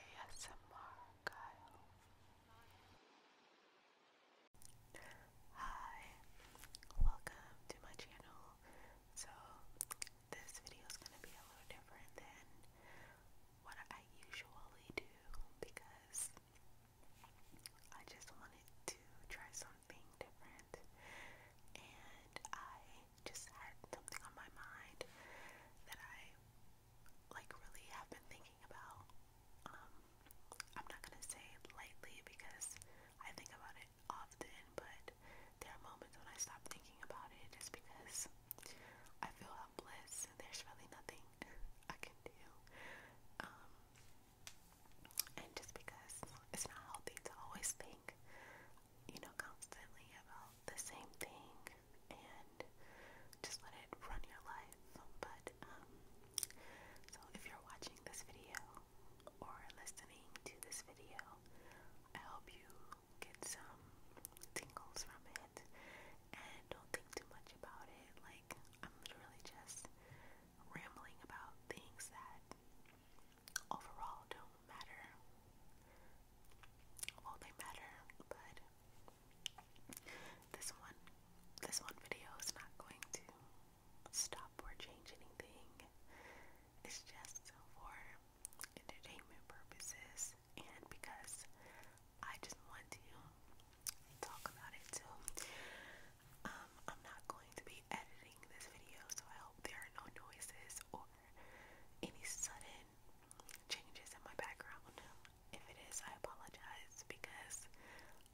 ASMR Kyle. Hi, welcome to my channel. So, this video is going to be a little different than what I usually do because I just wanted to try something different and I just had something on my mind that I like really have been thinking about. Um, I'm not gonna say lightly because I think about it often, but there are moments when I stop thinking about it just because I feel helpless there's really nothing I can do. Um, and just because it's not healthy to always think you know, constantly about the same thing and just let it run your life. But, um, so if you're watching this video or listening to this video, I hope you get some tingles from it and don't think too much about it. Like, I'm literally just rambling about things that overall don't matter. Well, they matter, but this one, this one video is not going to stop or change anything. It's just for entertainment purposes and because I just want to talk about it too. Um, I'm not going to be editing this video, so I hope there are no noises or any sudden changes in my background. If it is, I apologize because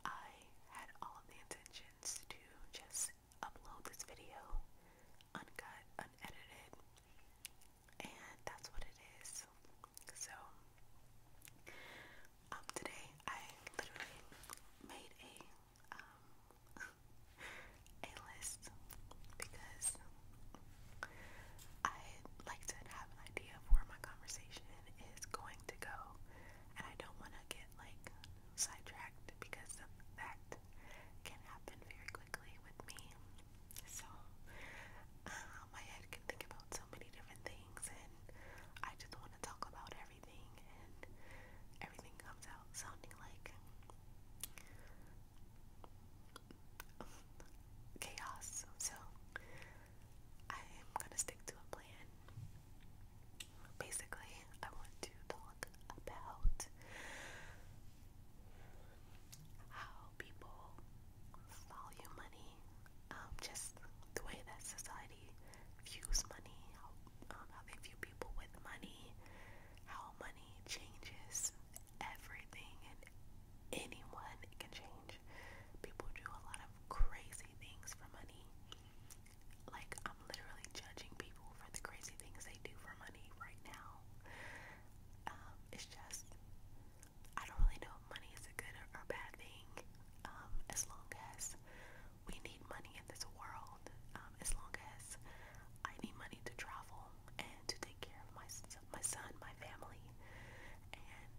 I had all the intentions to just upload this video uncut, unedited, and that's what it is. So, um, today I literally made a um, a list because I like to have an idea of where my conversation is going to go, and I don't want to get like sidetracked because of that can happen very quickly with me. So uh, my head can think about so many different things, and I just want to talk about everything, and everything comes out sounding like chaos. So I'm gonna stick to a plan. Basically, I want to talk about how people value money, um, just the way that society views money, how um, they view people with money, how money changes everything and anyone can change. People do a lot of crazy things for money. Like, I'm literally judging people for the crazy things they do for money right now. Um, it's just, I don't really know if money is a good or, or bad thing. Um, as long as we need money in this world, world um, as long as I need money to travel and to take care of my my son, my family, and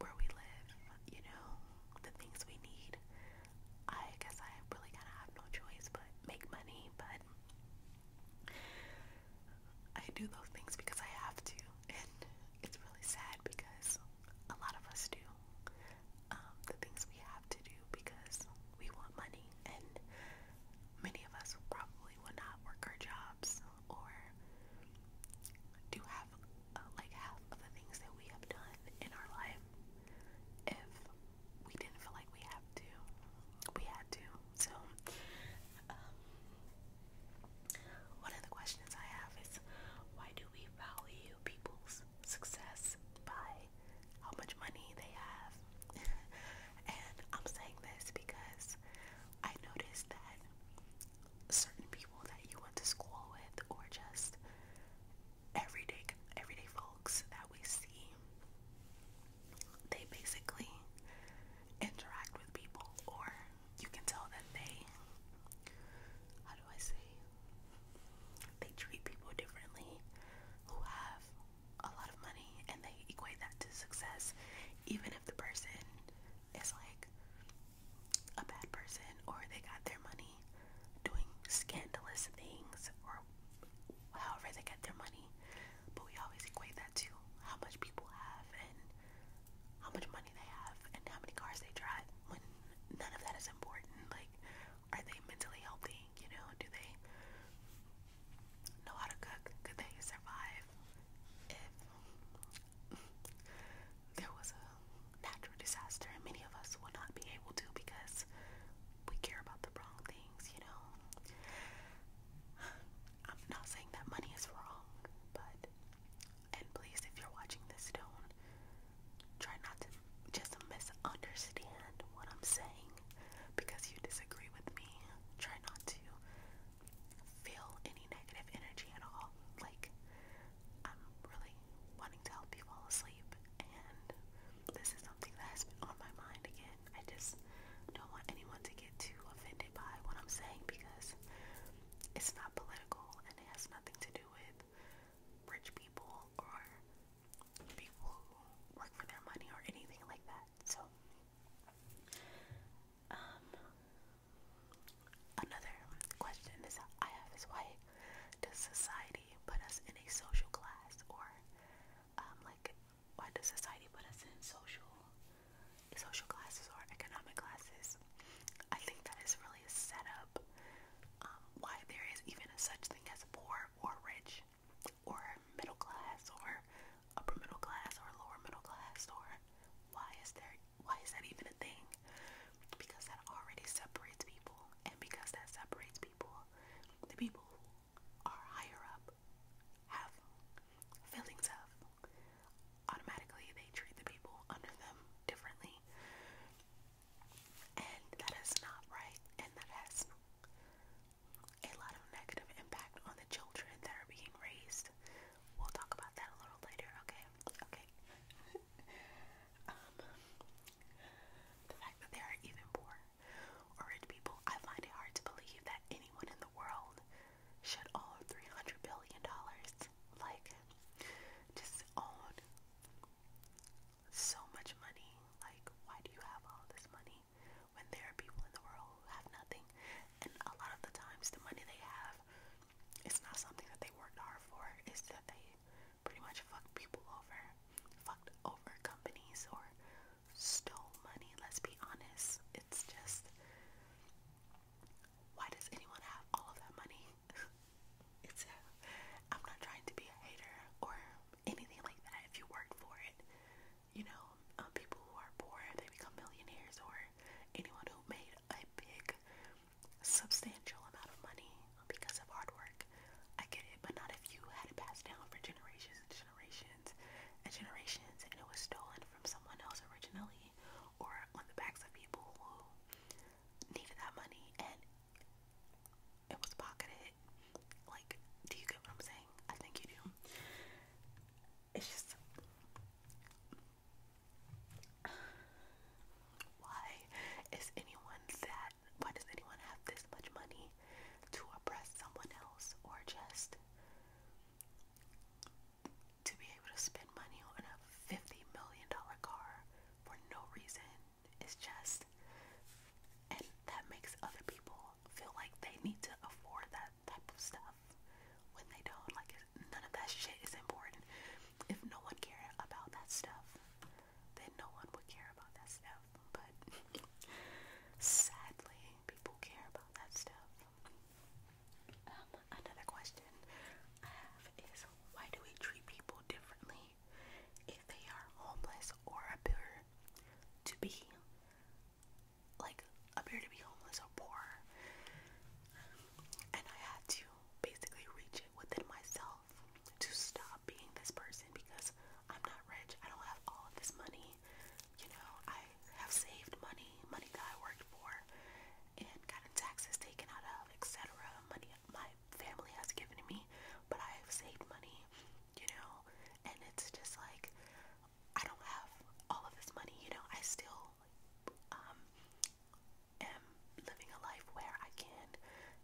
where we live. You know, the things we need. I guess I really kind of have no choice but make money, but. I do those things because I have to, and it's really sad because a lot of us do um, the things we have to do because we want money, and many of us probably will not work our jobs or do half, uh, like half of the things that we have done in our life if we didn't feel like we have to. We had to. So, um, one of the questions I have is why do we value people's success by how much money they have. and I'm saying this because I noticed that certain people that you went to school with or just everyday everyday folks that we see they basically interact with people or you can tell that they how do I say they treat people differently who have a lot of money and they equate that to success, even if the person is like a bad person or they got their money doing scandalous things or however they get their money. But we always equate that to how much people have and how much money they have and how many cars they drive when none of that is important. Like, are they mentally healthy? You know, do they know how to cook? Could they survive if there was a natural disaster? And many of us will not be able to because we care about the wrong things, you know. I'm not saying that money is wrong, but and please, if you're watching this, don't try not to just misunderstand what I'm saying because you disagree with me. Try not to feel any negative energy at all. Like, I'm really wanting to help you fall asleep, and this is something that has been on my mind again. I just don't want anyone to get too offended by what I'm saying because it's not political and it has nothing to do with rich people or people who work for their money or anything like that. So, um, another question is I have is why does society put us in a social class or, um, like, why does society put us in social, social classes or economic classes? I think that is really set up um, why there is even such thing as poor or rich or middle class or upper middle class or lower middle class or why is there why is that even a thing? Because that already separates people and because that separates people, the people who are higher up have feelings of automatically they treat the people under them differently. And that is not right, and that has a lot of negative impact on the children that are being raised. We'll talk about that a little later, okay? Okay. Um, the fact that there are even poor or rich people, I find it hard to believe that anyone in the world should own $300 billion. Like, just own so much money. Like, why do you have all this money when there are people in the world who have nothing? And a lot of the times, the money they have, it's not something that they worked hard for. It's that they pretty much fucked people over, fucked over companies, or stole money. Let's be honest. It's just, why does anyone have all of that money? it's a, I'm not trying to be a hater or anything like that. If you work for it, you know, um, people who are poor they become millionaires, or anyone who made a big, substantial amount of money because of hard work. I get it, but not if you had it passed down for generations and generations and generations, and it was stolen from someone else originally, or on the backs of people who needed that money and it was pocketed. Like, do you get what I'm saying? I think you do. It's just why is anyone that why does anyone have this much money to oppress someone else or just to be able to spend money on a 50 million dollar car for no reason it's just, and that makes other people feel like they need to afford that type of stuff when they don't. Like, none of that shit is important. If no one cared about that stuff, then no one would care about that stuff. But sadly, people care about that stuff. Um, another question I have is why do we treat people differently if they are homeless or appear to be like appear to be homeless or poor? And I had to basically reach it within myself to stop being this person because I'm not rich. I don't have all of this money. You know, I have saved money, money that I worked for, and gotten taxes taken out of, etc. Money, my my family has given me, but I have saved money, you know, and it's just like I don't have all of this money, you know, I still um am living a life where I can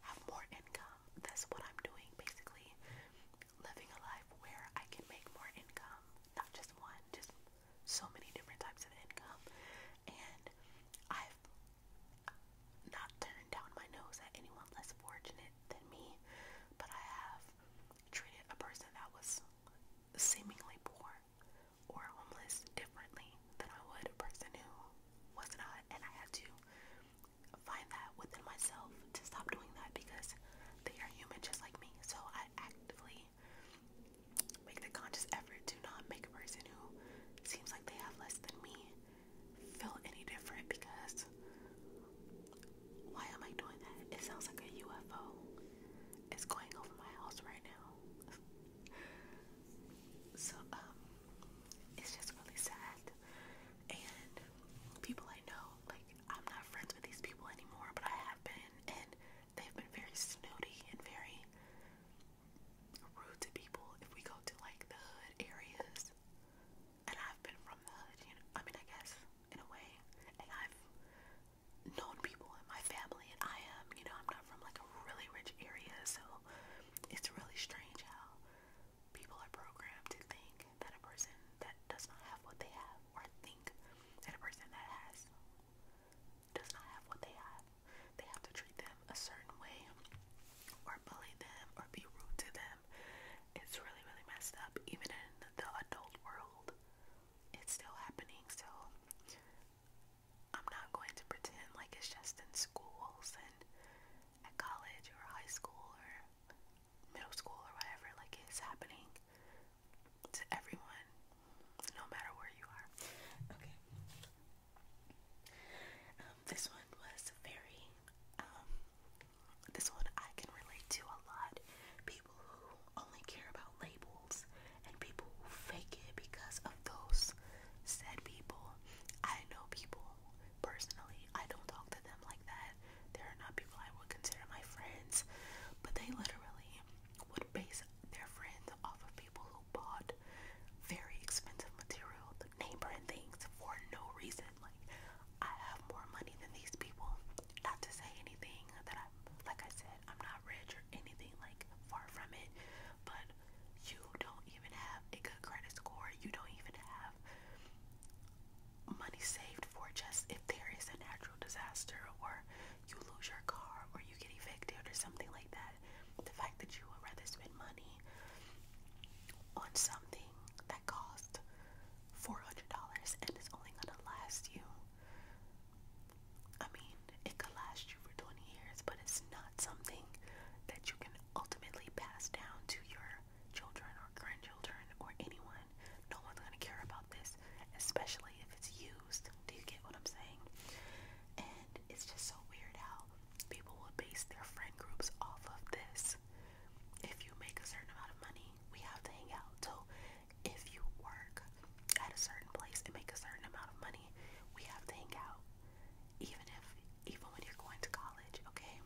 have more income. That's what I'm doing basically. Living a life where I can make more income, not just one, just so many different types of income and I've not turned down my nose at anyone less fortunate than me, but I have treated a person that was seemingly poor or homeless differently than I would a person who was not, and I had to find that within myself to stop doing that because they are human just like me. So I actively make the conscious effort to not make a person who seems like they have less than me feel any different because why am I doing that? It sounds like a UFO It's going over my house right now. so, um, it's just really sad. And people I know, like, I'm not friends with these people anymore, but I have been, and they've been very snooty and very rude to people if we go to like the hood areas. And I've been from the hood, you know. I mean, I guess in a way, and I've known people in my family, and I am, you know, I'm not from like a really rich area, so it's really strange how people are programmed to think that a person that does not have what they have, or think that a person that has does not have what they have. They have to treat them a certain way or bully them or be rude to them. It's really, really messed up. Even in the adult world, it's still happening. So I'm not going to pretend like it's just in schools and at college or high school or middle school or whatever. Like it's happening to everyone no matter where you are. Okay. Um, this one was very, um, this one I can relate to a lot. People who only care about labels and people who fake it because of those said people. I know people personally, I don't talk to them like that. There are not people I would consider my friends, but they literally would base their friends off of people who bought very expensive material, the name brand things for no reason. Like I have more money than these people. Not to say anything that I'm like I said, I'm not rich or anything like far from it, but you don't even have a good credit score. You don't even have money saved for just if there is a natural disaster or you lose your car or you get evicted or something like that, the fact that you would rather spend money on something that cost $400 and it's only gonna last you. I mean, it could last you for 20 years, but it's not something that you can ultimately pass down to your children or grandchildren or anyone. No one's gonna care about this, especially if it's you used. Do you get what I'm saying? And it's just so weird how people will base their friend groups off of this. If you make a certain amount of money, we have to hang out. So if you work at a certain place and make a certain amount of money, we have to hang out. Even if even when you're going to college, okay?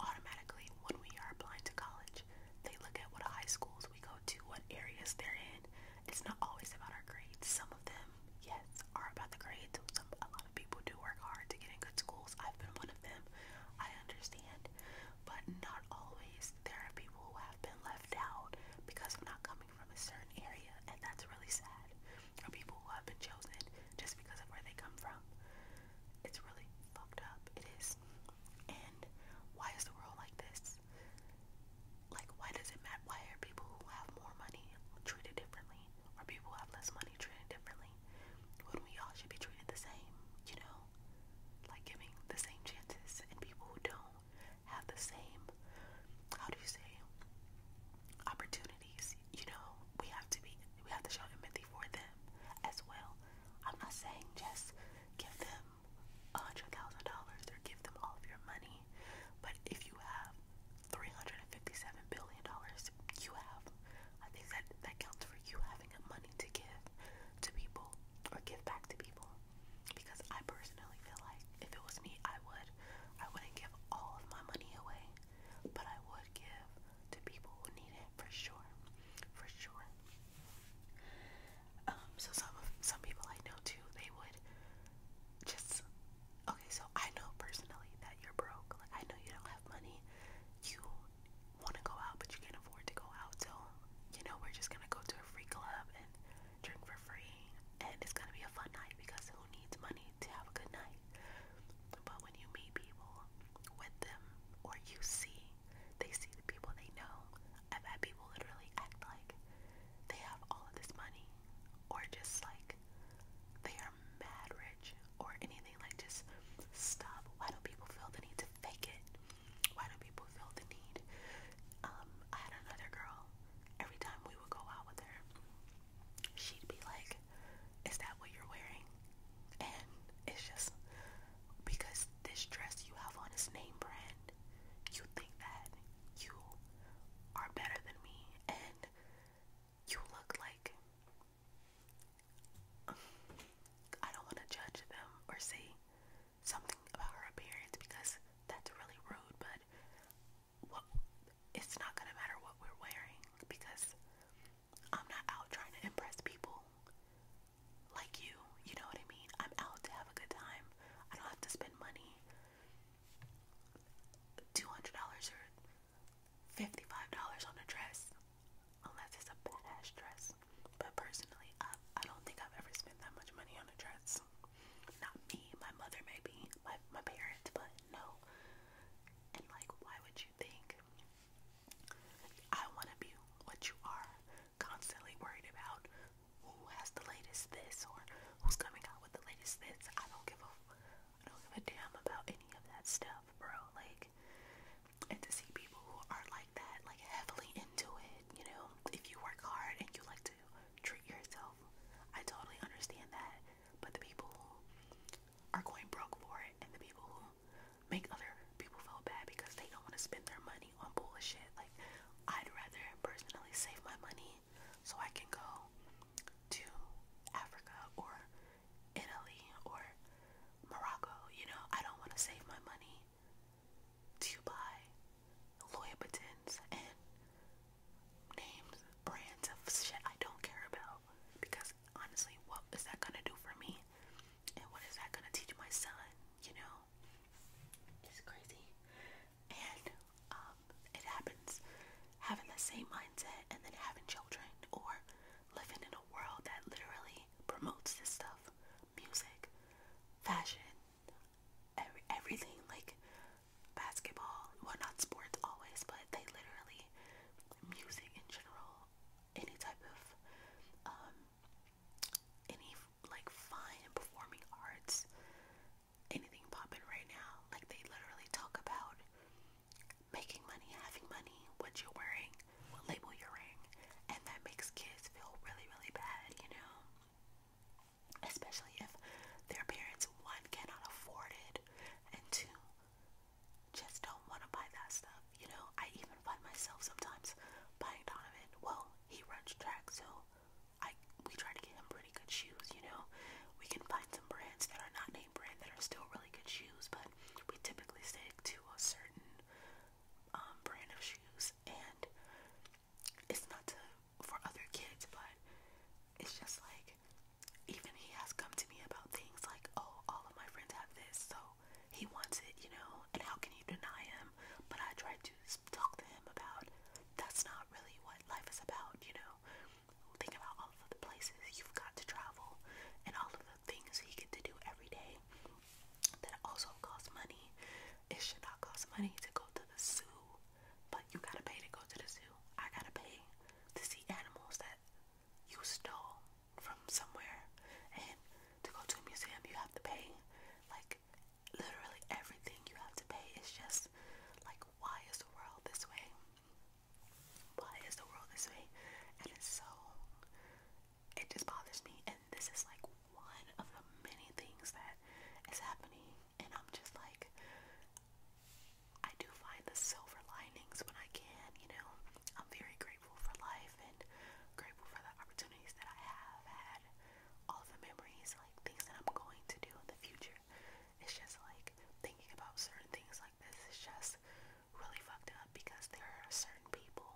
Automatically when we are applying to college, they look at what a high school schools we go to, what areas they're in. It's not always about our grades. Some of them, yes, are about the grades. Some, a lot of people do work hard to get in good schools. I've been one of them. I understand. But not always. There are people who have been left out because of not coming from a certain area, and that's really sad. Or people who have been chosen just because of where they come from. It's really fucked up. It is. And why is the world like this? is like why does it matter why are people who have more money treated differently or people who have less money treated differently when we all should be treated the same you know like giving the same chances and people who don't have the same how do you say opportunities you know we have to be we have to show empathy for them as well I'm not saying just give them a hundred thousand dollars or give them all of your money. But if you have three hundred and fifty-seven billion dollars, you have. I that that counts for you having money to give to people or give back to people. Because I personally feel like if it was me, I would. I wouldn't give all of my money away, but I would give to people who need it for sure. For sure. Um, so some of some people I know too, they would just okay. So I know personally that you're broke. Like I know you don't have money. You want to go out, but you can't afford to go out. So you know we're just gonna go to a free club and drink for free, and it's gonna be a fun night because who needs money to have a good night? But when you meet people with them, or you see, they see the people they know I've had people literally act like they have all of this money or just like they are mad rich or anything like just stop. Why do people feel the need to fake it? Why do people feel the need? Um, I had another girl, every time we would go out with her, she'd be like, Is that what you're wearing? And it's just because this dress you have on is name brand, you think that you are better than me and you look like I don't want to judge them or say something about her appearance because that's really rude, but it's not gonna matter what we're wearing because I'm not out trying to impress people like you. You know what I mean? I'm out to have a good time. I don't have to spend money. $200 or $55 on a dress. Unless it's a badass dress. But personally, I, I don't think I've ever spent that much money on a dress. Not me, my mother maybe, my, my parents, but no. And like, why would you think? I want to be what you are constantly worried about who has the latest this or who's coming out with the latest this. I don't give a I don't give a damn about any of that stuff, bro. Like and to see people who are like that, like heavily into it, you know, if you work hard and you like to treat yourself, I totally understand that. But the people who are going broke for it and the people who make other people feel bad because they don't want to spend their money on bullshit. Like, I'd rather personally save my money so I can go to Africa or Italy or Morocco. You know, I don't want to save my money to buy Louboutins and names, brands of shit I don't care about because honestly, what is that gonna do for me? And what is that gonna teach my son? You know, it's crazy. And um, it happens having the same mindset and then having children or living in a world that literally promotes this stuff music, fashion, every, everything like basketball. Well, not sports always, but they literally, music in general, any type of um, any like fun performing arts, anything popping right now. Like they literally talk about making money, having money, what you're wearing, what label you're wearing, and that makes kids feel really, really bad, you know? Especially if their parents, one, cannot afford it, and two, just don't want to buy that stuff. You know, I even find myself sometimes buying Donovan. Well, he runs track, so I we try to get him pretty good shoes. You know, we can find some brands that are not name brand that are still really good shoes, but we typically stick to a certain um, brand of shoes. And it's not to for other kids, but it's just like even he has come to me about things like, oh, all of my friends have this, so he wants it, you know, and how can you deny him? But I tried to talk to him about that's not really what life is about, you know. Think about all of the places you've got to travel and all of the things you get to do every day that also cost money. It should not cost money to go to the zoo, but you gotta pay to go to the zoo. I gotta pay to see animals that you stole from somewhere and to go to a museum you have to pay like literally everything you have to pay is just like why is the world this way why is the world this way and it's so it just bothers me and this is like one of the many things that is happening and I'm just like I do find the silver linings when I can you know I'm very grateful grateful for life and grateful for the opportunities that I have had, all the memories, like things that I'm going to do in the future. It's just like thinking about certain things like this is just really fucked up because there are certain people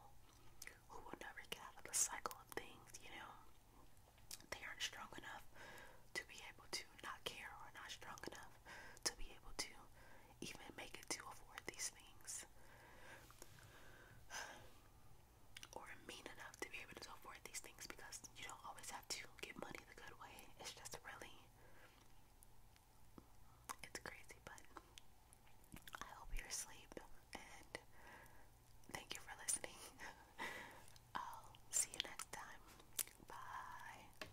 who will never get out of the cycle of things, you know? They aren't strong enough to be able to not care or not strong enough to be able to even make it to afford these things or mean enough to be able to afford these things because you don't always have to get money the good way. It's just really it's crazy, but I hope you're asleep and thank you for listening. I'll see you next time. Bye.